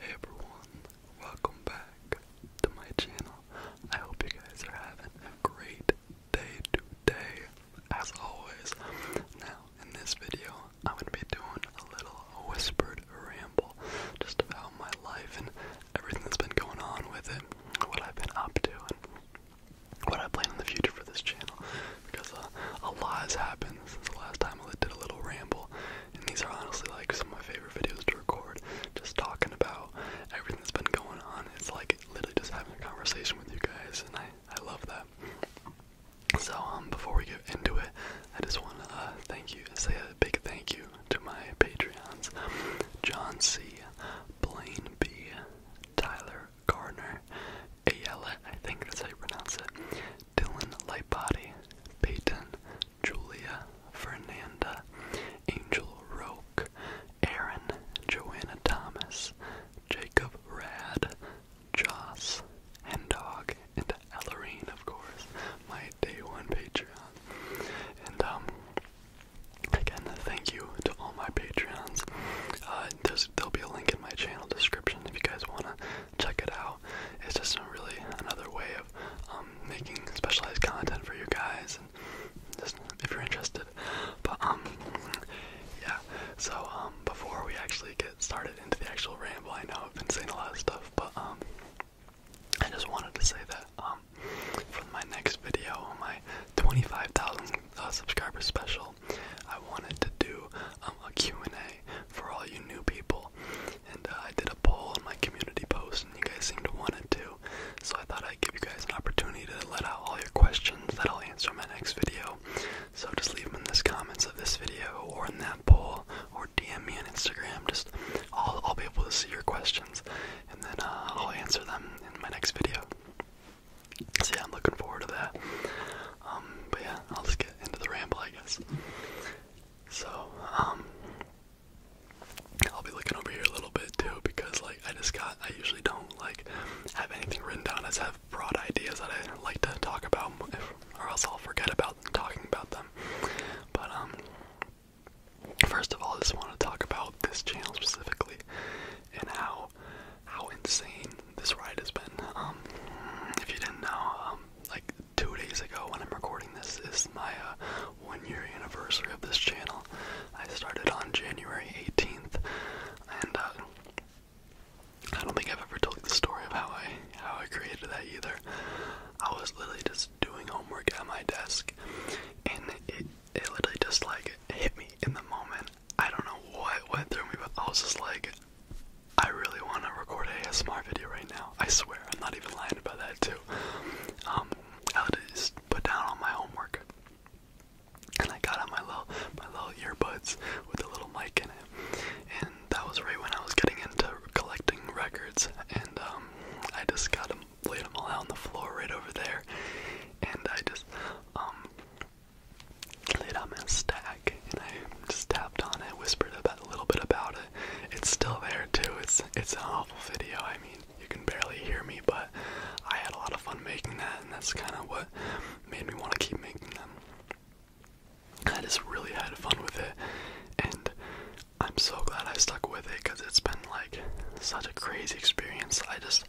Hey everyone, welcome back to my channel. I hope you guys are having a great day today, as always. Now, in this video, I'm going to be doing a little whispered ramble just about my life and everything that's been going on with it, what I've been up to, and what I plan in the future for this channel. Because uh, a lot has happened since the last time I did a little ramble, and these are honestly like some of my favorite videos to record. Just talking about everything that's been going on. It's like literally just having a conversation with you guys, and I I love that. So um, before we get into it, I just want to uh, thank you, say a big thank you to my Patreons, John C, Blaine B, Tyler Gardner, Ayla. I think that's how you pronounce it, Dylan Lightbody, Peyton, Julia, Fernanda, Angel Roke, Aaron, Joanna Thomas, Jacob Rad, Joss, Hendog, and Ellerine, of course, my day one Patreon. And um again thank you to all my Patreons. Uh there's there'll be a link in my channel description if you guys wanna check it out. It's just really another way of um, making specialized content for you guys, and just if you're interested. But um, yeah. So um, before we actually get started into the actual ramble, I know I've been saying a lot of stuff, but um, I just wanted to say that um, for my next video, my 25,000 uh, subscribers special, I wanted to do um, a Q&A for all you new people and uh, I did a poll on my community post, and you guys seemed to want it too. So I thought I'd give you guys an opportunity to let out all your questions that I'll answer in my next video. So just leave them in the comments of this video, or in that poll, or DM me on Instagram. Just I'll, I'll be able to see your questions, and then uh, I'll answer them in my next video. So yeah, I'm looking forward to that. Um, but yeah, I'll just get into the ramble, I guess. So, um, I'll be looking over here a little bit too because, like, I just got, I usually don't, like, have anything written down. I just have broad ideas that I like to talk about, or else I'll forget about talking about them. But, um, first of all, I just want to talk about this channel specifically and how, how insane this ride has been. Um, if you didn't know, um, like, two days ago when I'm recording this is my uh, one year anniversary of this channel. I started on January 18th, and uh, I don't think I've ever told you the story of how I how I created that either. I was literally just doing homework at my desk, and it it literally just like hit me in the moment. I don't know what went through me, but I was just like, I really want to record a ASMR video right now. I swear, I'm not even lying about that too. Um, I just put down all my homework, and I got out my little my little earbuds with a little mic in it, and that was right when I was getting into collecting records, and um, I just got laid them all out on the floor right over there, and I just um laid out my stack, and I just tapped on it, whispered about a little bit about it it's still there too. It's it's an awful video. I mean, you can barely hear me, but I had a lot of fun making that, and that's kind of what made me want to keep making them. I just really had fun with it, and I'm so glad I stuck with it because it's been like such a crazy experience. I just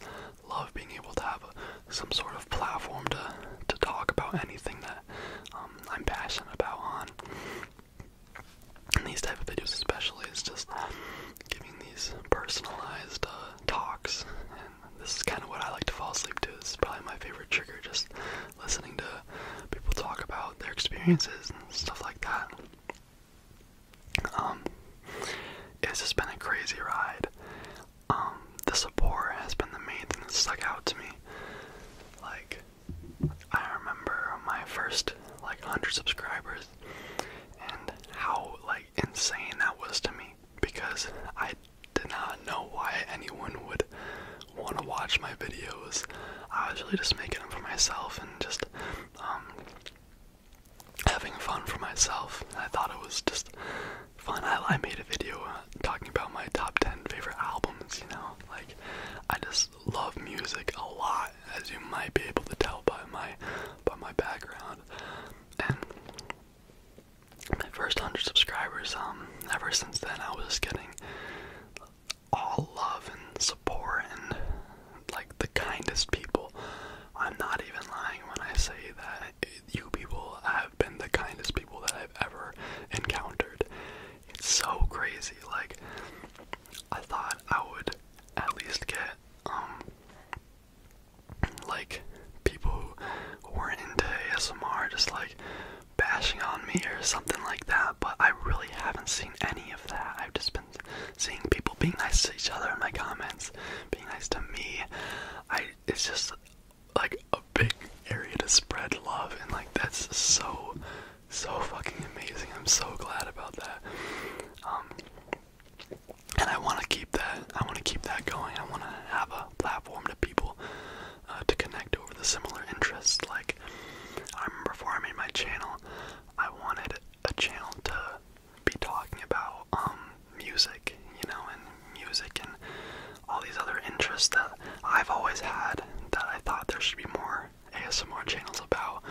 love being able to have some sort of platform to to talk about anything that um, I'm passionate about on, in these type of videos especially is just giving these personalized uh, talks and this is kind of what I like to fall asleep to. This is probably my favorite trigger, just listening to people talk about their experiences and stuff like that. Um, it's just been a crazy ride. Um, the support has been the main thing that stuck out to me. Like, I remember my first like 100 subscribers and how like insane that was to me because I did not know why anyone would want to watch my videos. I was really just making them for myself and just um, having fun for myself. I thought it was just fun. I made a video talking about my top 10 favorite albums, you know? Like, I just love music a lot, as you might be able to tell by my, by my background. And my first 100 subscribers, um, ever since then, I was getting all love and support and, like, the kindest people. I'm not even lying when I say that you people have been the kindest people that I've ever encountered. It's so crazy. Like I thought I would at least get um like people who weren't into ASMR just like bashing on me or something like that, but I really haven't seen any of that. I've just been seeing people being nice to each other in my comments, being nice to me. I it's just like big area to spread love, and like that's so, so fucking amazing. I'm so glad about that. Um, and I want to keep that. I want to keep that going. I want to have a platform to people uh, to connect over the similar interests. Like I remember before I made my channel, I wanted a channel to be talking about um, music, you know, and music and all these other interests that I've always had that I thought there should be more ASMR channels about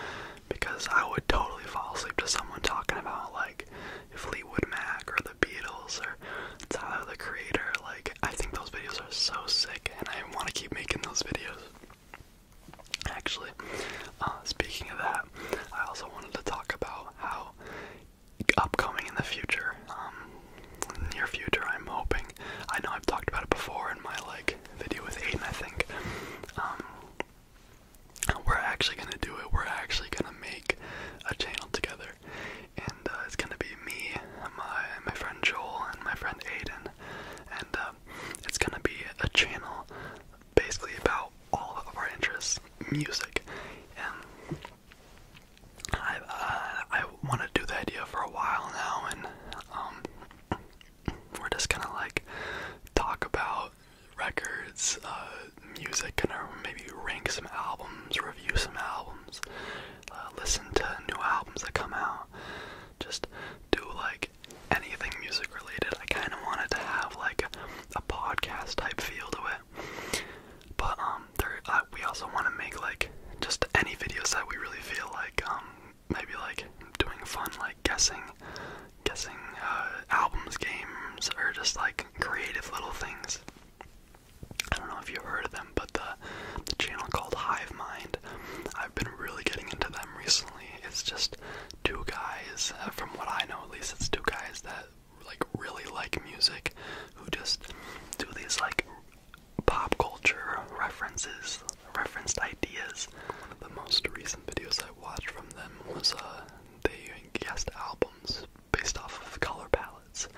because I would totally fall asleep to someone talking about like Fleetwood Mac or the Beatles or Tyler the Creator. Like I think those videos are so sick and I want to keep making those videos. Actually, uh, speaking of that, I also wanted to talk about how upcoming in the future, um, near future, I'm hoping. I know I've talked about it before in my like video with Aiden, I think. Um, we're actually gonna do it. We're actually gonna make a channel together, and uh, it's gonna be me, my my friend Joel, and my friend Aiden, and uh, it's gonna be a channel basically about all of our interests, music, and I uh, I wanted to do the idea for a while now, and um, we're just gonna like talk about records, uh, music, and maybe rank some albums, review some albums, uh, listen to new albums that come out, just do like anything music related. I kind of wanted to have like a podcast type feel to it, but um, uh, we also want to make like just any videos that we really feel like um, maybe like doing fun like guessing guessing uh, albums games or just like creative little things i don't know if you've heard of them but the, the channel called hive mind i've been really getting into them recently it's just two guys uh, from what i know at least it's two guys that like really like music who just do these like pop culture references, referenced ideas. One of The most recent videos I watched from them was uh, they guest albums based off of color palettes,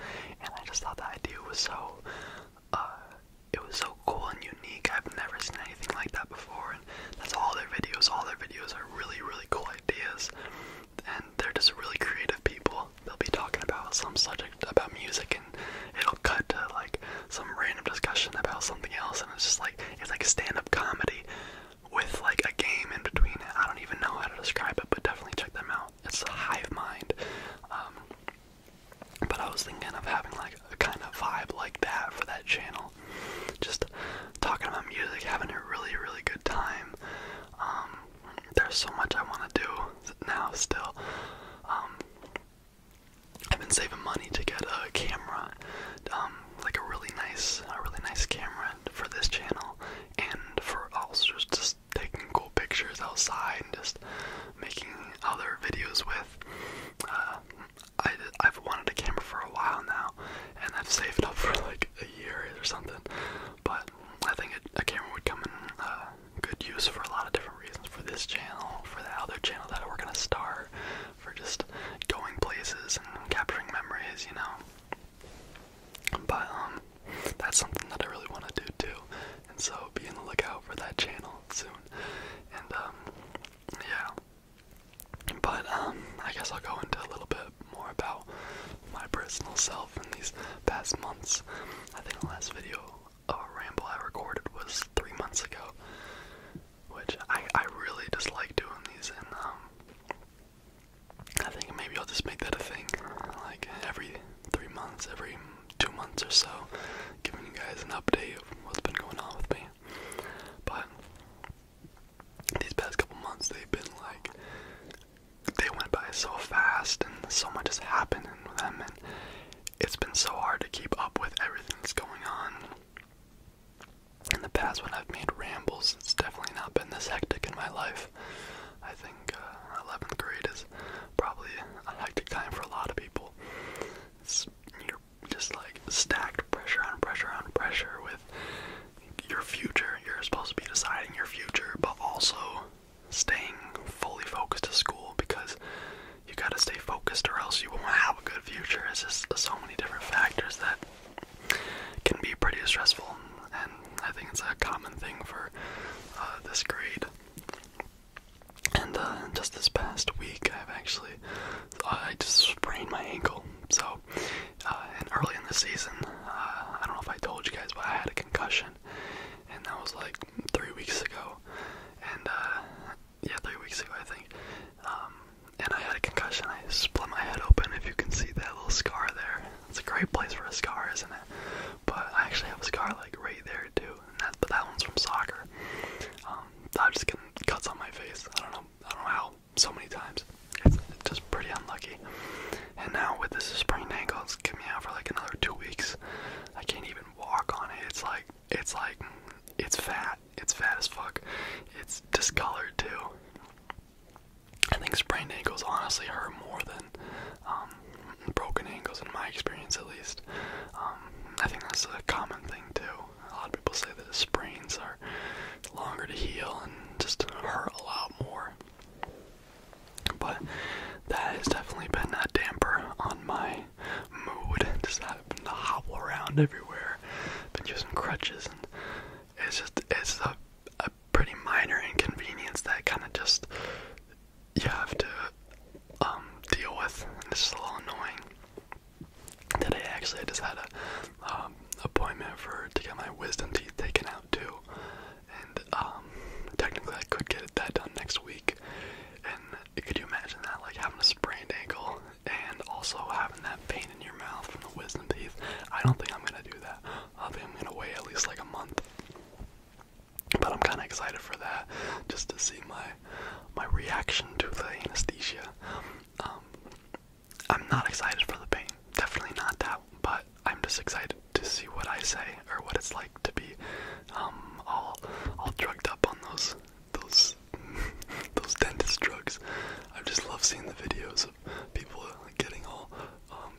and I just thought the idea was so, uh, it was so cool and unique. I've never seen anything like that before, and that's all their videos. All their videos are really, really cool ideas, and they're just really creative people they'll be talking about some subject about music and it'll cut to like some random discussion about something else and it's just like it's like a stand-up comedy with like a game in between I don't even know how to describe it, but definitely check them out. It's a hive mind. Um, but I was thinking of having like a kind of vibe like that for that channel. Just talking about music, having a really, really good time. Um, there's so much I want to do now still. Um, I've been saving money to get a camera, um, like a really nice, a really nice camera for this channel, and for also just taking cool pictures outside and just making other videos with. Uh, I, I've wanted a camera for a while now, and I've saved up for like a year or something, but I think a, camera would come in uh, good use for a lot of different reasons for this channel, for the other channel that we're gonna start, for just going places and capturing memories, you know. But um that's something that I really wanna do too. And so be on the lookout for that channel soon. And um yeah. But um I guess I'll go into a little bit more about my personal self in these past months. I think the last video a ramble I recorded was three months ago, which I I really just like doing these, and um, I think maybe I'll just make that a thing, like every three months, every two months or so, giving you guys an update of what's been going on with me. But these past couple months, they've been like they went by so fast, and so much has happened with them, and it's been so hard to keep up with everything that's going on. In the past, when I've made rambles, it's definitely not been this hectic in my life. I think 11th uh, grade is probably a hectic time for a lot of people. you're just like stacked pressure on pressure on pressure with your future. You're supposed to be deciding your future, but also staying fully focused to school because you gotta stay focused or else you won't have a good future. It's just so many different factors that can be pretty stressful, and I think it's a common thing for uh, this grade. And uh, just this past week, I've actually uh, I just sprained my ankle. So, and early in the season, I don't know if I told you guys, but I had a concussion, and that was like three weeks ago. And uh, yeah, three weeks ago I think. Um, and I had a concussion. I split my head open. If you can see that little scar there, it's a great place for a scar, isn't it? But I actually have a scar like right there too, and that but that one's from soccer. Um, I'm just getting cuts on my face. I don't know. I don't know how. So many times. It's just pretty unlucky. And now with this sprained ankle, it's gonna me out for like another two weeks. I can't even walk on it. It's like it's like it's fat. It's fat as fuck. It's discolored too. I think sprained ankles honestly hurt more than um, broken ankles in my experience at least. Um, I think that's a common thing too. A lot of people say that sprains are longer to heal and just hurt a lot more. But that has definitely been a damper on my mood. Just having to hobble around everywhere. Been using crutches and it's just it's a pretty minor inconvenience that kinda just you have to um, deal with and it's just a little annoying. Today actually I just had an um, appointment for to get my wisdom teeth taken out too. Um, technically I could get that done next week. And could you imagine that, like having a sprained ankle and also having that pain in your mouth from the wisdom teeth? I don't think I'm gonna do that. I think I'm gonna wait at least like a month. But I'm kind of excited for that, just to see my my reaction to the anesthesia. Um, I'm not excited for the pain, definitely not that, but I'm just excited to see what I say or what it's like to be um, all all drugged up on those those those dentist drugs. I just love seeing the videos of people getting all um,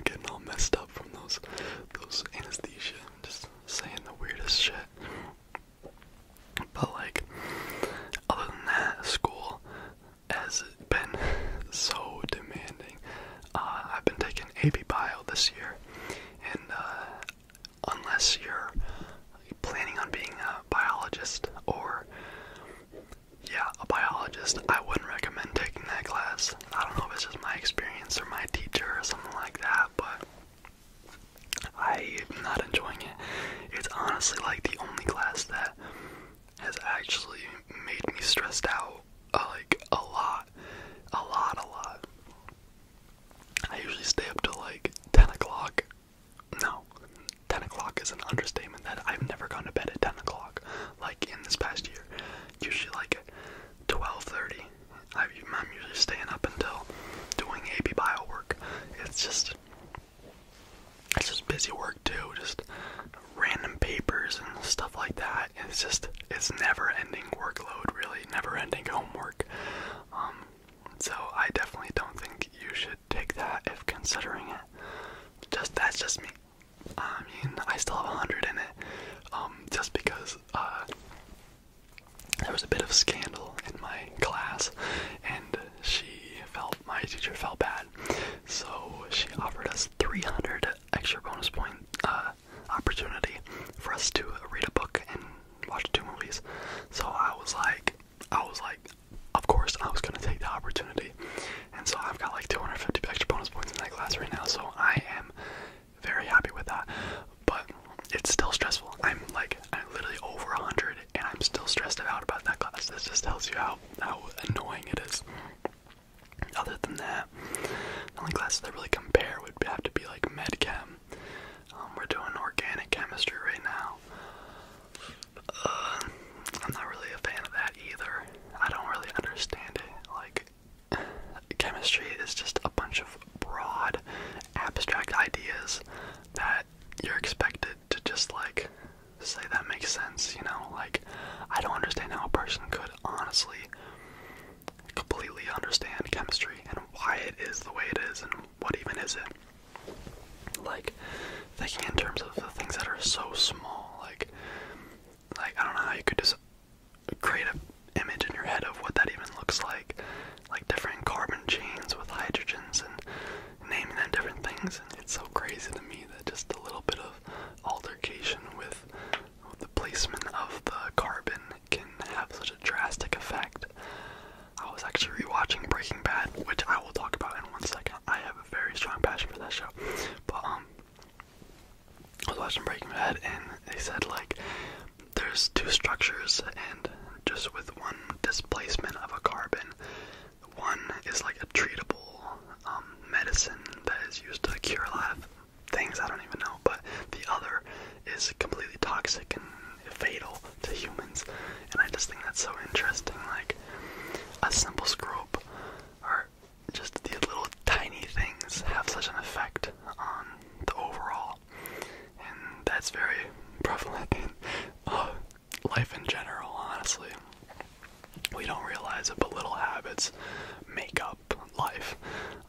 getting all messed up from those those anesthesia, just saying the weirdest shit. But like, other than that, school has been so demanding. Uh, I've been taking AP Bio this year, and uh, unless you're planning on being a biologist or yeah, a biologist, I wouldn't recommend taking that class. I don't know if it's just my experience or my teacher or something like that, but I'm not enjoying it. It's honestly like the only class that has actually made me stressed out, uh, like a lot, a lot, a lot. I usually stay up till like 10 o'clock. No, 10 o'clock is an understatement that I've never gone to bed at 10 o'clock, like in this past year. Usually like 12.30. I'm usually staying up until doing AB bio work. It's just, it's just busy work too, just random papers and stuff like that. It's just it's never-ending workload, really, never-ending homework. Um, so I definitely don't think you should take that if considering it. Just that's just me. I mean, I still have a hundred in it. Um, just because uh, there was a bit of scandal in my class, and she felt my teacher felt bad, so she offered us 300 extra bonus point uh, opportunity for us to read a book and watch two movies. So I was like, I was like, of course I was gonna take the opportunity. And so I've got like 250 extra bonus points in that class right now. So I am very happy with that. But it's still stressful. I'm like, I'm literally over 100 and I'm still stressed out about that class. This just tells you how, how annoying it is. Other than that, the only classes that really compare would have to be like med chem. Um, we're doing organic chemistry right now. Uh, I'm not really a fan of that either. I don't really understand it. Like, chemistry is just a bunch of broad, abstract ideas that you're expected to just like say that makes sense, you know? Like, I don't understand how a person could honestly completely understand chemistry and why it is the way it is and what even is it. Like thinking in terms of the things that are so small, like like I don't know how you could just create an image in your head of what that even looks like. Like different carbon chains with hydrogens and naming them different things and it's so crazy to me that just a little bit of altercation with the placement of the carbon can have such a drastic effect. I was actually rewatching Breaking Bad, which I will talk about in one second. I have a very strong passion for that show. But um I was watching Breaking Bad and they said like there's two structures and just with one displacement of a carbon, one is like a treatable um, medicine that is used to cure life things, I don't even know, but the other is completely toxic and fatal to humans, and I just think that's so interesting. Like, a simple screw up or just the little tiny things have such an effect on the overall, and that's very prevalent in uh, life in general, honestly. We don't realize it, but little habits make up life.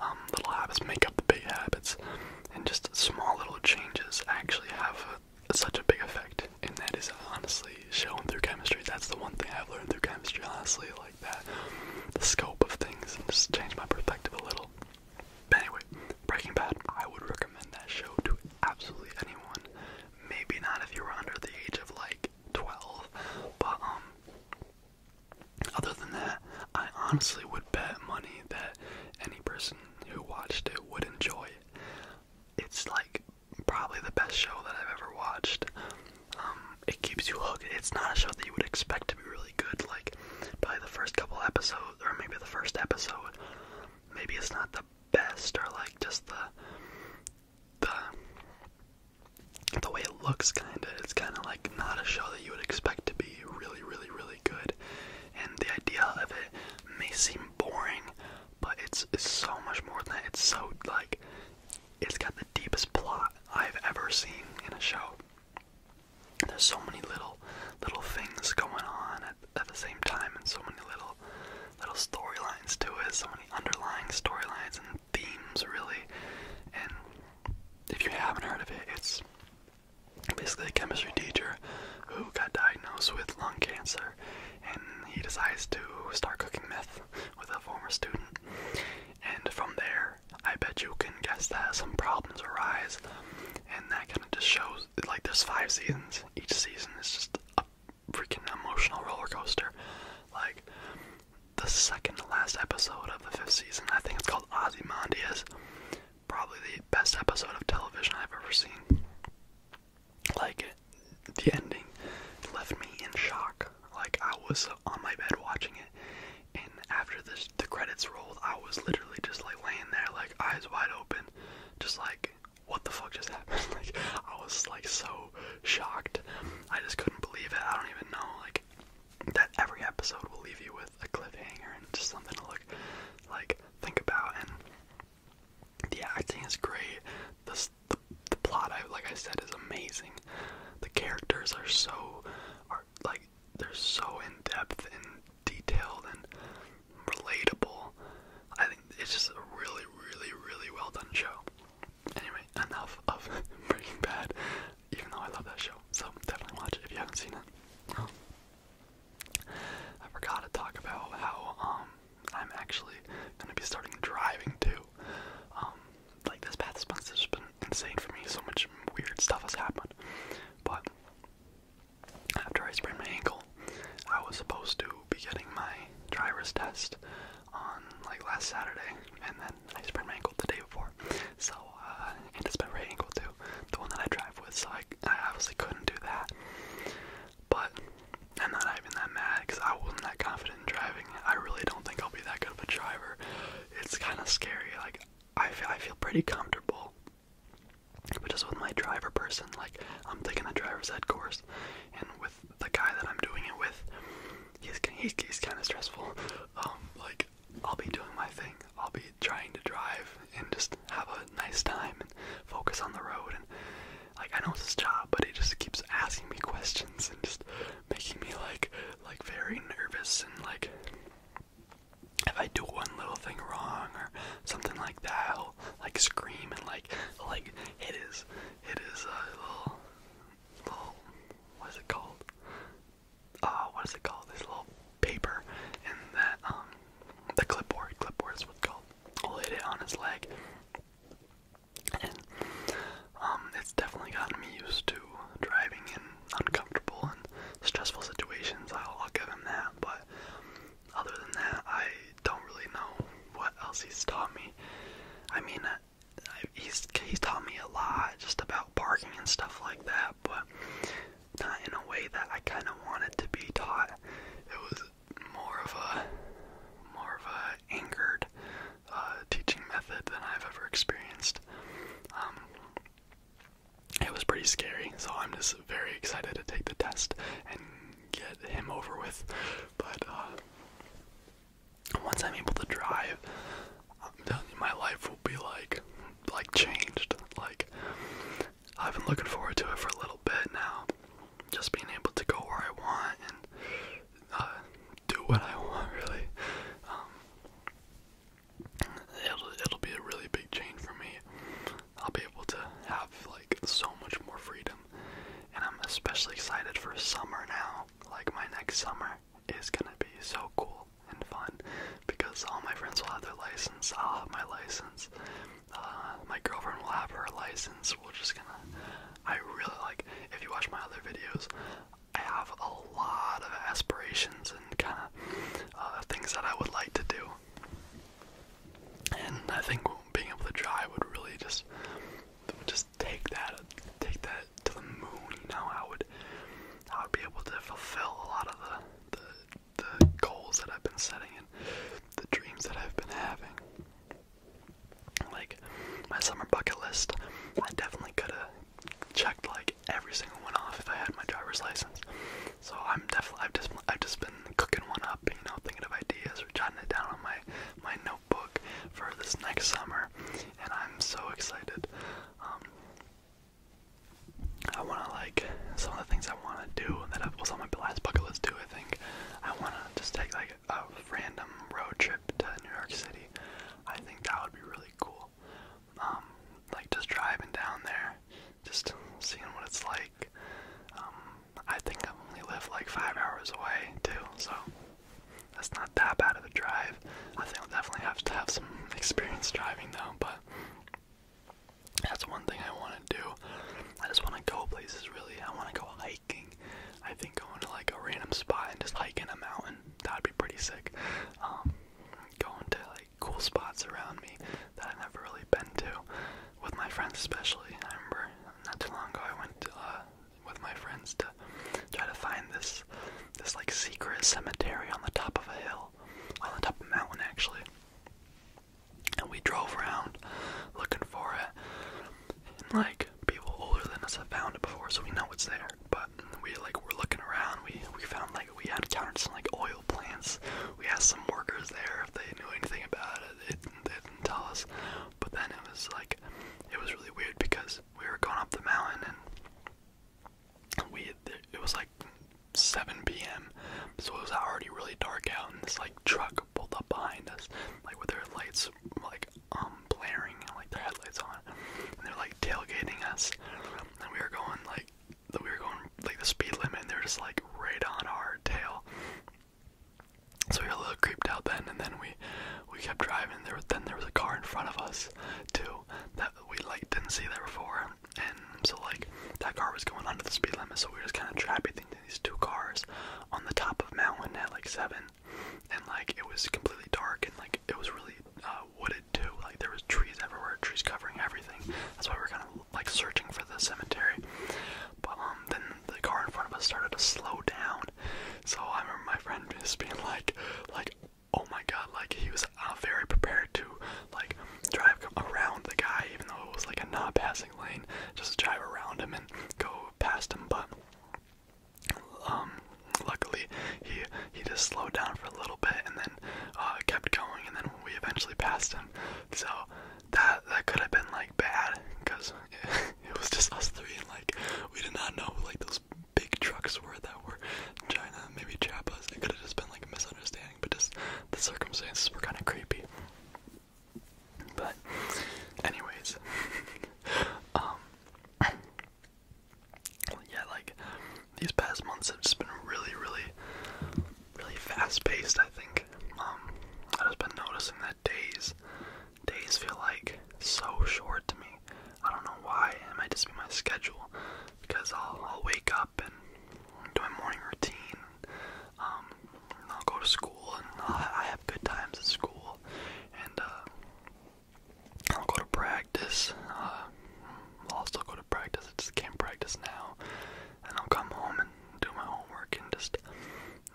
Um, little habits make up the big habits, and just small little changes actually have such a big effect. And that is honestly shown through chemistry. That's the one thing I've learned through chemistry, honestly, like that. The scope of things and just change my perspective a little. But anyway, Breaking Bad, I would recommend that show to absolutely anyone. Maybe not if you were under the age of like 12, but um, other than that, I honestly would bet money that any person who watched it would enjoy it. It's like probably the best show that I've ever watched. Um, it keeps you hooked. It's not a show that you would expect to be really good. Like by the first couple episodes, or maybe the first episode. Maybe it's not the best, or like just the the the way it looks kinda, it's kinda like not a show that you would expect to be really, really, really good. And the idea of it may seem boring, but it's, it's so much more than that. It's so like it's got the deepest plot I've ever seen in a show. There's so many little little things going on at, at the same time and so many little little storylines to it, so many underlying storylines and themes really. And if you haven't heard of it, it's basically a chemistry teacher who got diagnosed with lung cancer and he decides to start cooking meth with a former student. And from there, I bet you can guess that some problems arise and that kind of just shows like there's five seasons. Each season is just a freaking emotional roller coaster. Like the second last episode of the fifth season. I think it's called Ozymandias. Probably the best episode of television I've ever seen. Like, the ending left me in shock. Like, I was on my bed watching it, and after this, the credits rolled, I was literally just like laying there, like eyes wide open, just like, what the fuck just happened? like, I was like so shocked. I just couldn't believe it. I don't even know. Like, that every episode will leave you with a cliffhanger and just something to look like think about and the acting is great. The, the, plot, I, like I said, is amazing. The characters are so, are like they're so in depth and detailed and relatable. I think it's just a really, really, really well done show. Anyway, enough of Breaking Bad even though I love that show. So definitely watch it if you haven't seen it. I forgot to talk about how um, I'm actually gonna be starting driving too. Um, like this past month has been insane for me. So much weird stuff has happened. But after I sprained my ankle, I was supposed to be getting my driver's test on like last Saturday, and I sprained my ankle the day before. So, uh, and it's my ankle too, the one that I drive with. So I, obviously couldn't do that. But I'm not even that mad because I wasn't that confident in driving. I really don't think I'll be that good of a driver. It's kind of scary. Like I feel, I feel pretty comfortable, but just with my driver person, like I'm taking a driver's ed course, and with the guy that I'm doing it with, he's he's, he's kind of stressful. Um, like I'll be doing my thing. I'll be trying to drive and just have a nice time and focus on the road and like I know it's his job, but he just keeps asking me questions and just making me like like very nervous and like if I do one little thing wrong or something like that, i like scream and like like it is, it is hit uh, little little what is it called? uh, what is it called? This little paper and that um the clipboard. Clipboard is what's called. Laid it on his leg, and um, it's definitely gotten me used to driving in uncomfortable and stressful situations. I'll, I'll give him that, but other than that, I don't really know what else he's taught me. I mean, I, he's he's taught me a lot just about parking and stuff like that, but not in a way that I kind of wanted to be taught. It was more of a more of a angered uh, teaching method than I've ever experienced. Um, it was pretty scary, so I'm just very excited to take the test and get him over with. But uh, once I'm able to drive, I'm my life will be like, like changed. Like I've been looking forward to it for a little bit now. Just being able to go where I want and uh, do what I want, really. Um, it'll it'll be a really big change for me. I'll be able to have like so much more freedom, and I'm especially excited for summer now. Like my next summer is gonna be so cool and fun because all my friends will have their license, I'll have my license, uh, my girlfriend will have her license. We're just gonna. I really like. If you watch my other videos, I have a lot of aspirations and kind of uh, things that I would like to do. And I think being able to drive would really just, just take that, take that to the moon, you know, I would I would be able to fulfill a lot of the the, goals that I've been setting and the dreams that I've been having. Like my summer bucket list, I definitely could have checked like every single one off if I had my driver's license. So I'm definitely I've just I've just been cooking one up, you know, thinking of ideas or jotting it down on my my notebook for this next summer, and I'm so excited. Um, I want to like some of the things I want to do that was on my last bucket list too. I think I want to just take like a random road trip to New York City. I think that would be really cool. Um, like just driving down there, just seeing what it's like. Um, I think I only live like five hours away too, so that's not that bad of a drive. I think I'll definitely have to have some experience driving though, but that's one thing I want to do. I just want to go places really. I want to go hiking. I think going to like a random spot and just hiking a mountain, that'd be pretty sick. Um, going to like cool spots around me that I've never really been to with my friends especially. I remember not too long ago I went uh, with my friends to try to find this this like secret cemetery on the top of a hill, on the top of a mountain actually. And we drove around looking for it. And like people older than us have found it before, so we know it's there. But we like were looking around. We we found like we had encountered some like oil plants. We asked some workers there if they knew anything about it. They didn't, they didn't tell us. But then it was like it was really weird because we were going up the mountain and we it was like 7 p.m. so it was already really dark out, and this like truck pulled up behind us, like with their lights like um blaring, like their headlights on, and they're like tailgating us, and we were going like we were going like the speed limit, and they're just like right on our tail. So we were a little creeped out then, and then we we kept driving. There, then there was a car in front of us too that we like didn't see that before, and so like that car was going under the speed limit, so we were just kind of trapped between these two cars on the top of mountain at like seven, and like it was completely dark and like it was really uh, wooded too, like there was trees everywhere, trees covering everything. That's why we are kind of like searching for the cemetery. But um, then the car in front of us started to slow down, so I remember my friend just being like, like oh my god, like he was uh, very prepared to like drive around the guy, even though it was like a not passing lane, just drive around him and go past him. But um, luckily he he just slowed down for a little bit and then uh, kept going, and then we eventually passed him. So that that could have been like bad because it was just us three, and like we did not know like those big trucks were that were China, maybe Chapas. It could have just been like a misunderstanding, but just the circumstances were kind of creepy. But, anyways, um, yeah, like these past months have just been really, really, really fast-paced. I think. Um, I've just been noticing that days, days feel like so short to me. I don't know why. It might just be my schedule because I'll, I'll wake up and do my morning routine. Um, I'll go to school and i have good times at school. And uh, I'll go to practice. Uh, I'll also go to practice. I just can't practice now. And I'll come home and do my homework and just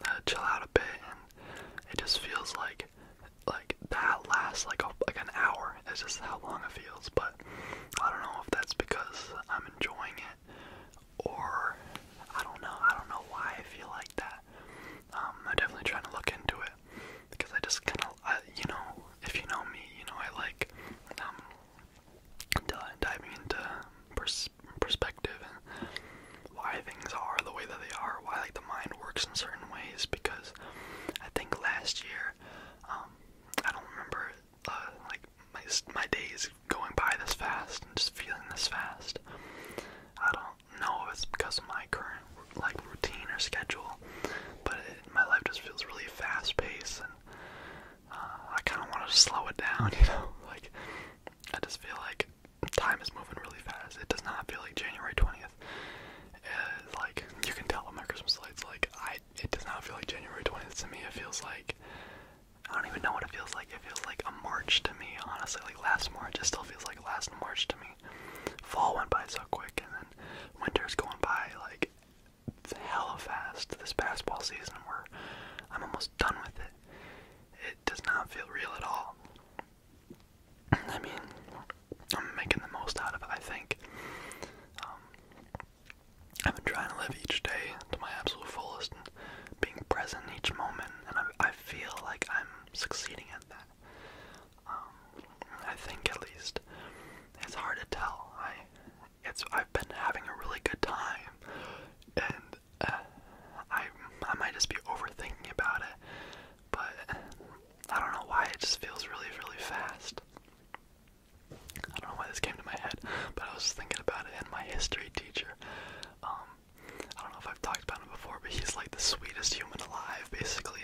uh, chill out a bit. And it just feels like like that lasts like a, like an hour. It's just how long it feels. But I don't know if that's because I'm enjoying it, or I don't know. I don't know why I feel like that. Um, I'm definitely trying to look into it because I just kind of, you know, if you know me, you know I like um, diving into perspective and why things are the way that they are, why like the mind works in certain ways because I think last year. Um, I don't remember uh, like my my days going by this fast and just feeling this fast. I don't know if it's because of my current like routine or schedule, but my life just feels really fast paced, and uh, I kind of want to slow it down. You know, like I just feel like time is moving really fast. It does not feel like January twentieth uh, like you can tell my Christmas lights. Like I, it does not feel like January 20th to me. It feels like I don't even know what it feels like. It feels like a March to me, honestly. Like last March, it still feels like last March to me. Fall went by so quick, and then winter's going by like hella fast. This basketball season, where I'm almost done with it. It does not feel real at all. I mean, I'm making the most out of it, I think. Um, I've been trying to live each day to my absolute fullest and being present each moment, and I, feel like I'm succeeding at that. Um, I think at least. It's hard to tell. I, it's I've been having a really good time, and uh, I I might just be overthinking about it, but I don't know why it just feels really, really fast. I don't know why this came to my head, but I was just thinking about it. And my history teacher, um, I don't know if I've talked about him before, but he's like the sweetest human alive, basically.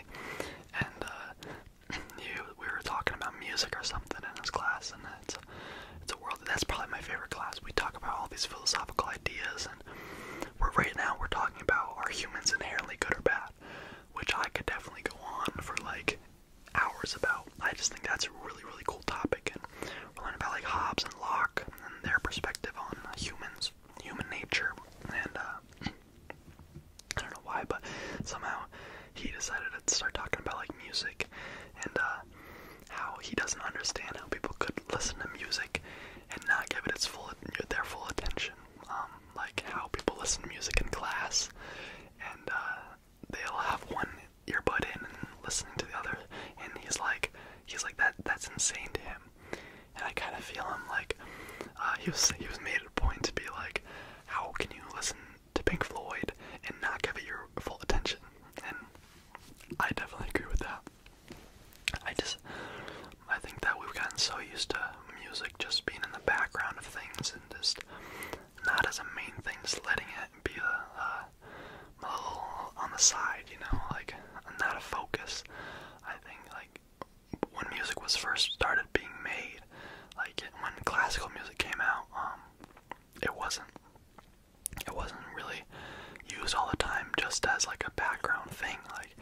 And uh, we were talking about music or something in his class, and it's a, it's a world. That's probably my favorite class. We talk about all these philosophical ideas, and we're right now we're talking about are humans inherently good or bad which I could definitely go on for like hours about. I just think that's a really, really cool topic, and we're learning about like Hobbes and Locke and their perspective on humans, human nature, and uh, I don't know why, but somehow he decided to start talking about like music and uh, how he doesn't understand how people could listen to music and not give it its full their full attention um, like how people listen to music in class, and uh, they'll have one earbud in and listening to the other, and he's like, he's like that. That's insane to him, and I kind of feel him. Like uh, he was, he was made a point to be like, how can you listen to Pink Floyd and not give it your full attention? And I definitely agree with that. I just, I think that we've gotten so used to music just being in the background of things and just not as a main thing, just letting it be a, uh, a, uh, a little on the side, you know, like not a focus. I think like when music was first started being made, like when classical music came out, um, it wasn't it wasn't really used all the time just as like a background thing. Like like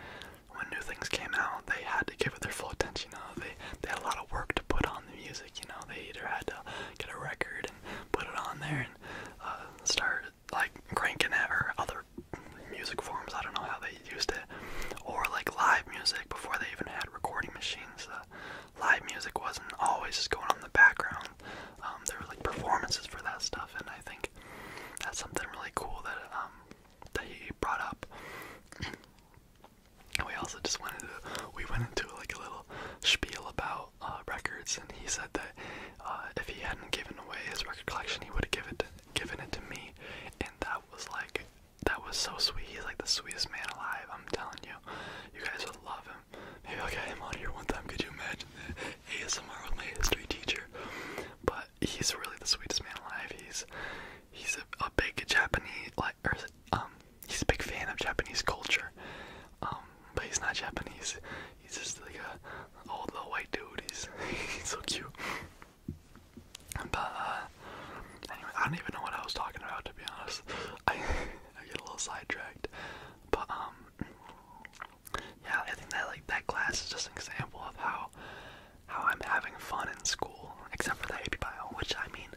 when new things came out, they had to give it their full attention. You know, they they had a lot of work to put on the music. You know, they either had to get a record and put it on there and uh, start like cranking it or other music forms. I don't know how they used it, or like live music before they even had recording machines. Uh, live music wasn't always just going on in the background. Um, there were like performances for that stuff, and I think that's something really cool that um, that he brought up. we also just wanted to, we went into like a little spiel about uh, records, and he said that uh, if he hadn't given away his record collection, he would have given it, given it to me, and that was like, that was so sweet. He's like the sweetest man alive. I'm telling you, you guys would love him. Maybe I'll get him on here one time. Could you imagine that? ASMR with my history teacher. But he's really the sweetest man alive. He's he's a, a big Japanese like or, um he's a big fan of Japanese culture. Um, but he's not Japanese. He's just like a old little white dude. He's he's so cute. But uh, anyway, I don't even know what I was talking about to be honest. I I get a little sidetracked. But um yeah, I think that like that class is just an example of how how I'm having fun in school, except for the AP Bio, which I mean,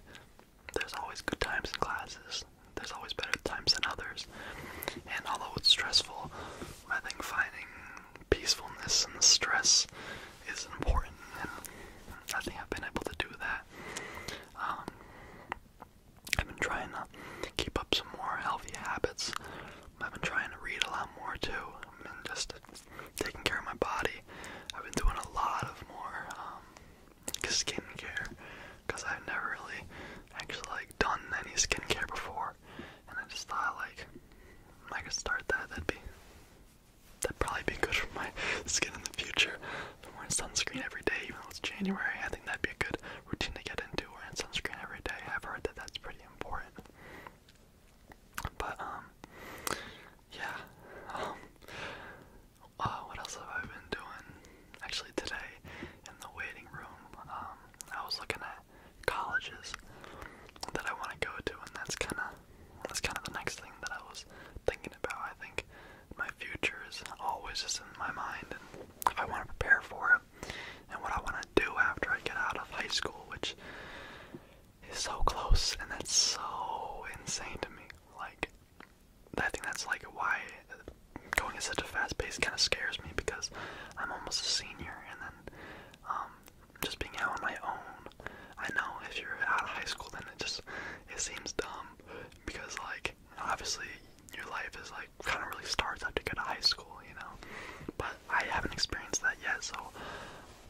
there's always good times in classes, there's always better times than others. And although it's stressful, I think finding peacefulness in the stress is important, and I think I've been able to do that. Um, I've been trying to keep up some more healthy habits. I've been trying to read a lot more too, and just taking care of my body. I've been doing a lot of more um, skincare because I've never really actually like done any skincare before, and I just thought like I could start that. That'd be that'd probably be good for my skin in the future. wearing sunscreen every day, even though it's January. I think that'd be a good routine to get into. Wearing sunscreen every day. I've heard that that's pretty important. But um, yeah. Um, uh, what else have I been doing? Actually, today in the waiting room, um, I was looking at colleges that I want to go to, and that's kind of that's kind of the next thing that I was thinking about. I think my future is always just in my mind, and if I want to prepare for it, and what I want to do after I get out of high school, which is so close, and that's so insane to me. Like, I think that's like why going at such a fast pace kind of scares me because I'm almost a senior, and then um, just being out on my own. I know if you're out of high school, then it just it seems dumb because like obviously your life is like kind of really starts after you get to high school, you know. But I haven't experienced that yet, so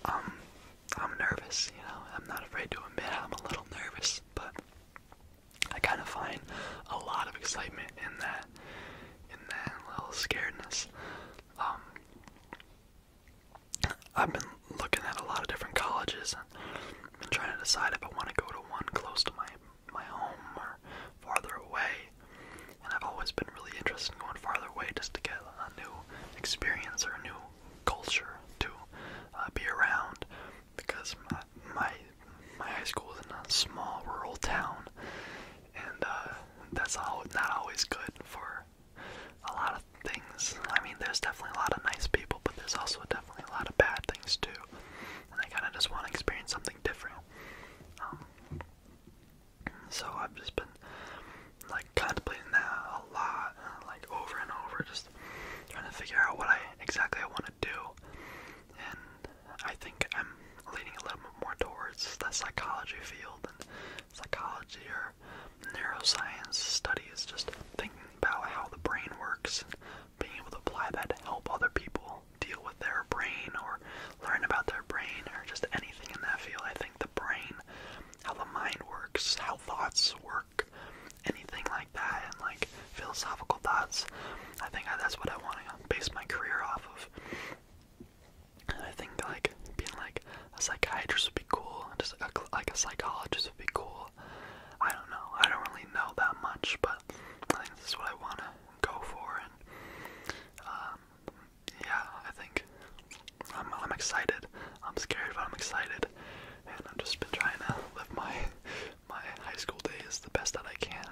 um, I'm nervous, you know. I'm not afraid to admit I'm a little nervous, but I kind of find a lot of excitement in that, in that little scaredness. Um, I've been looking at a lot of different colleges and been trying to decide if I want to go to one close to my my home or farther away and I've always been really interested in going farther away just to get a new experience or a new culture to uh, be around. Because my, my my high school is in a small rural town, and uh, that's all, not always good for a lot of things. I mean, there's definitely a lot of nice people, but there's also definitely a lot of bad things too. And I kind of just want to experience something different. Um, so I've just been like contemplating that a lot, like over and over, just trying to figure out what I exactly I want to do. And I think I'm leaning a little bit more towards the psychology field and psychology or neuroscience studies, just thinking about how the brain works and being able to apply that to help other people deal with their brain or learn about their brain or just anything in that field. I think the brain, how the mind works, how thoughts work, anything like that, and like philosophical thoughts. I think that's what I want to base my career off of. And I think like being like a psychiatrist would be cool, just a, like a psychologist would be cool. I don't know. I don't really know that much, but I think this is what I want to go for, and um, yeah, I think I'm, I'm excited. I'm scared, but I'm excited, and I've just been trying to live my my high school days the best that I can,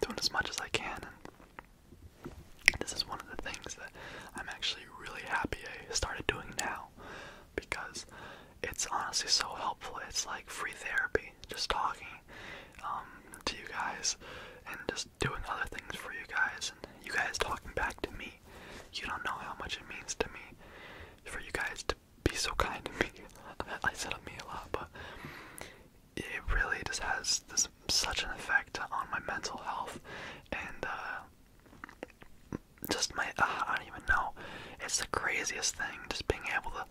doing as much as I can. And this is one of the things that I'm actually really happy I started doing now, because it's honestly so helpful. It's like free therapy, just talking um, to you guys and just doing other things for you guys, and you guys talking back to me you don't know how much it means to me for you guys to be so kind to me. I said on me a lot, but it really just has this such an effect on my mental health and uh, just my uh, I don't even know. It's the craziest thing just being able to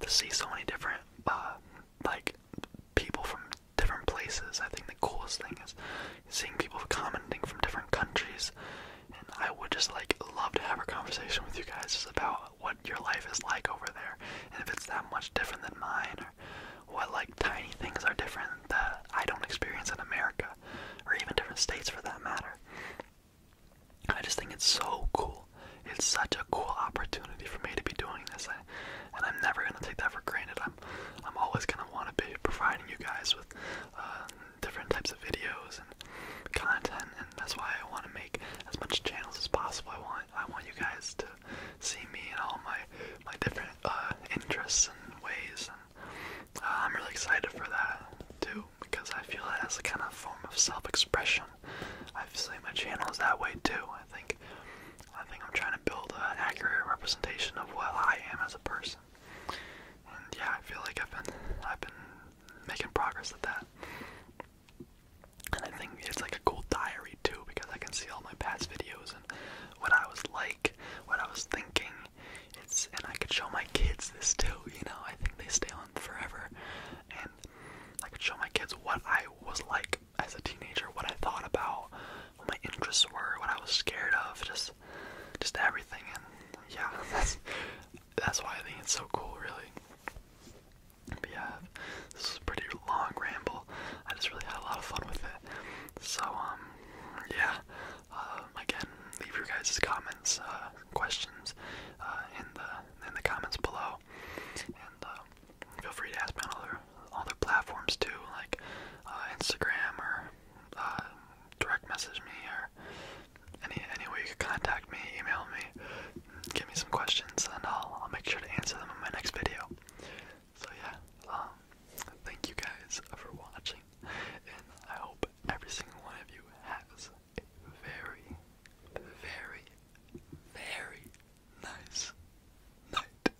to see so many different uh, like people from different places. I think the coolest thing is seeing people commenting from different countries. And I would just like love to have a conversation with you guys just about what your life is like over there, and if it's that much different than mine, or what like tiny things are different that I don't experience in America, or even different states for that matter. I just think it's so cool. It's such a cool opportunity for me to be doing this, I, and I'm never gonna take that for granted. I'm, always going to want to be providing you guys with uh, different types of videos and content, and that's why I want to make as much channels as possible. I want I want you guys to see me and all my my different uh, interests and ways, and uh, I'm really excited for that too because I feel that as a kind of form of self-expression. i feel seen my is that way too. I think I think I'm trying to build an accurate representation of what I am as a person. And yeah, I feel like I've been I've been making progress at that. And I think it's like a cool diary too because I can see all my past videos and what I was like, what I was thinking. It's and I could show my kids this too, you know. I think they stay on forever. And I could show my kids what I was like as a teenager, what I thought about, what my interests were, what I was scared of, just just everything and yeah, that's that's why I think it's so cool really. But yeah, this is a pretty long ramble. I just really had a lot of fun with it. So um yeah. Um, again, leave your guys' comments, uh, questions uh, in the in the comments below, and uh, feel free to ask me on other other platforms too, like uh, Instagram or uh, direct message me or any any way you could contact me, email me, give me some questions, and I'll I'll make sure to answer them in my next video. So yeah, um, thank you guys for watching, and I hope every single one of you has a very, very, very nice night.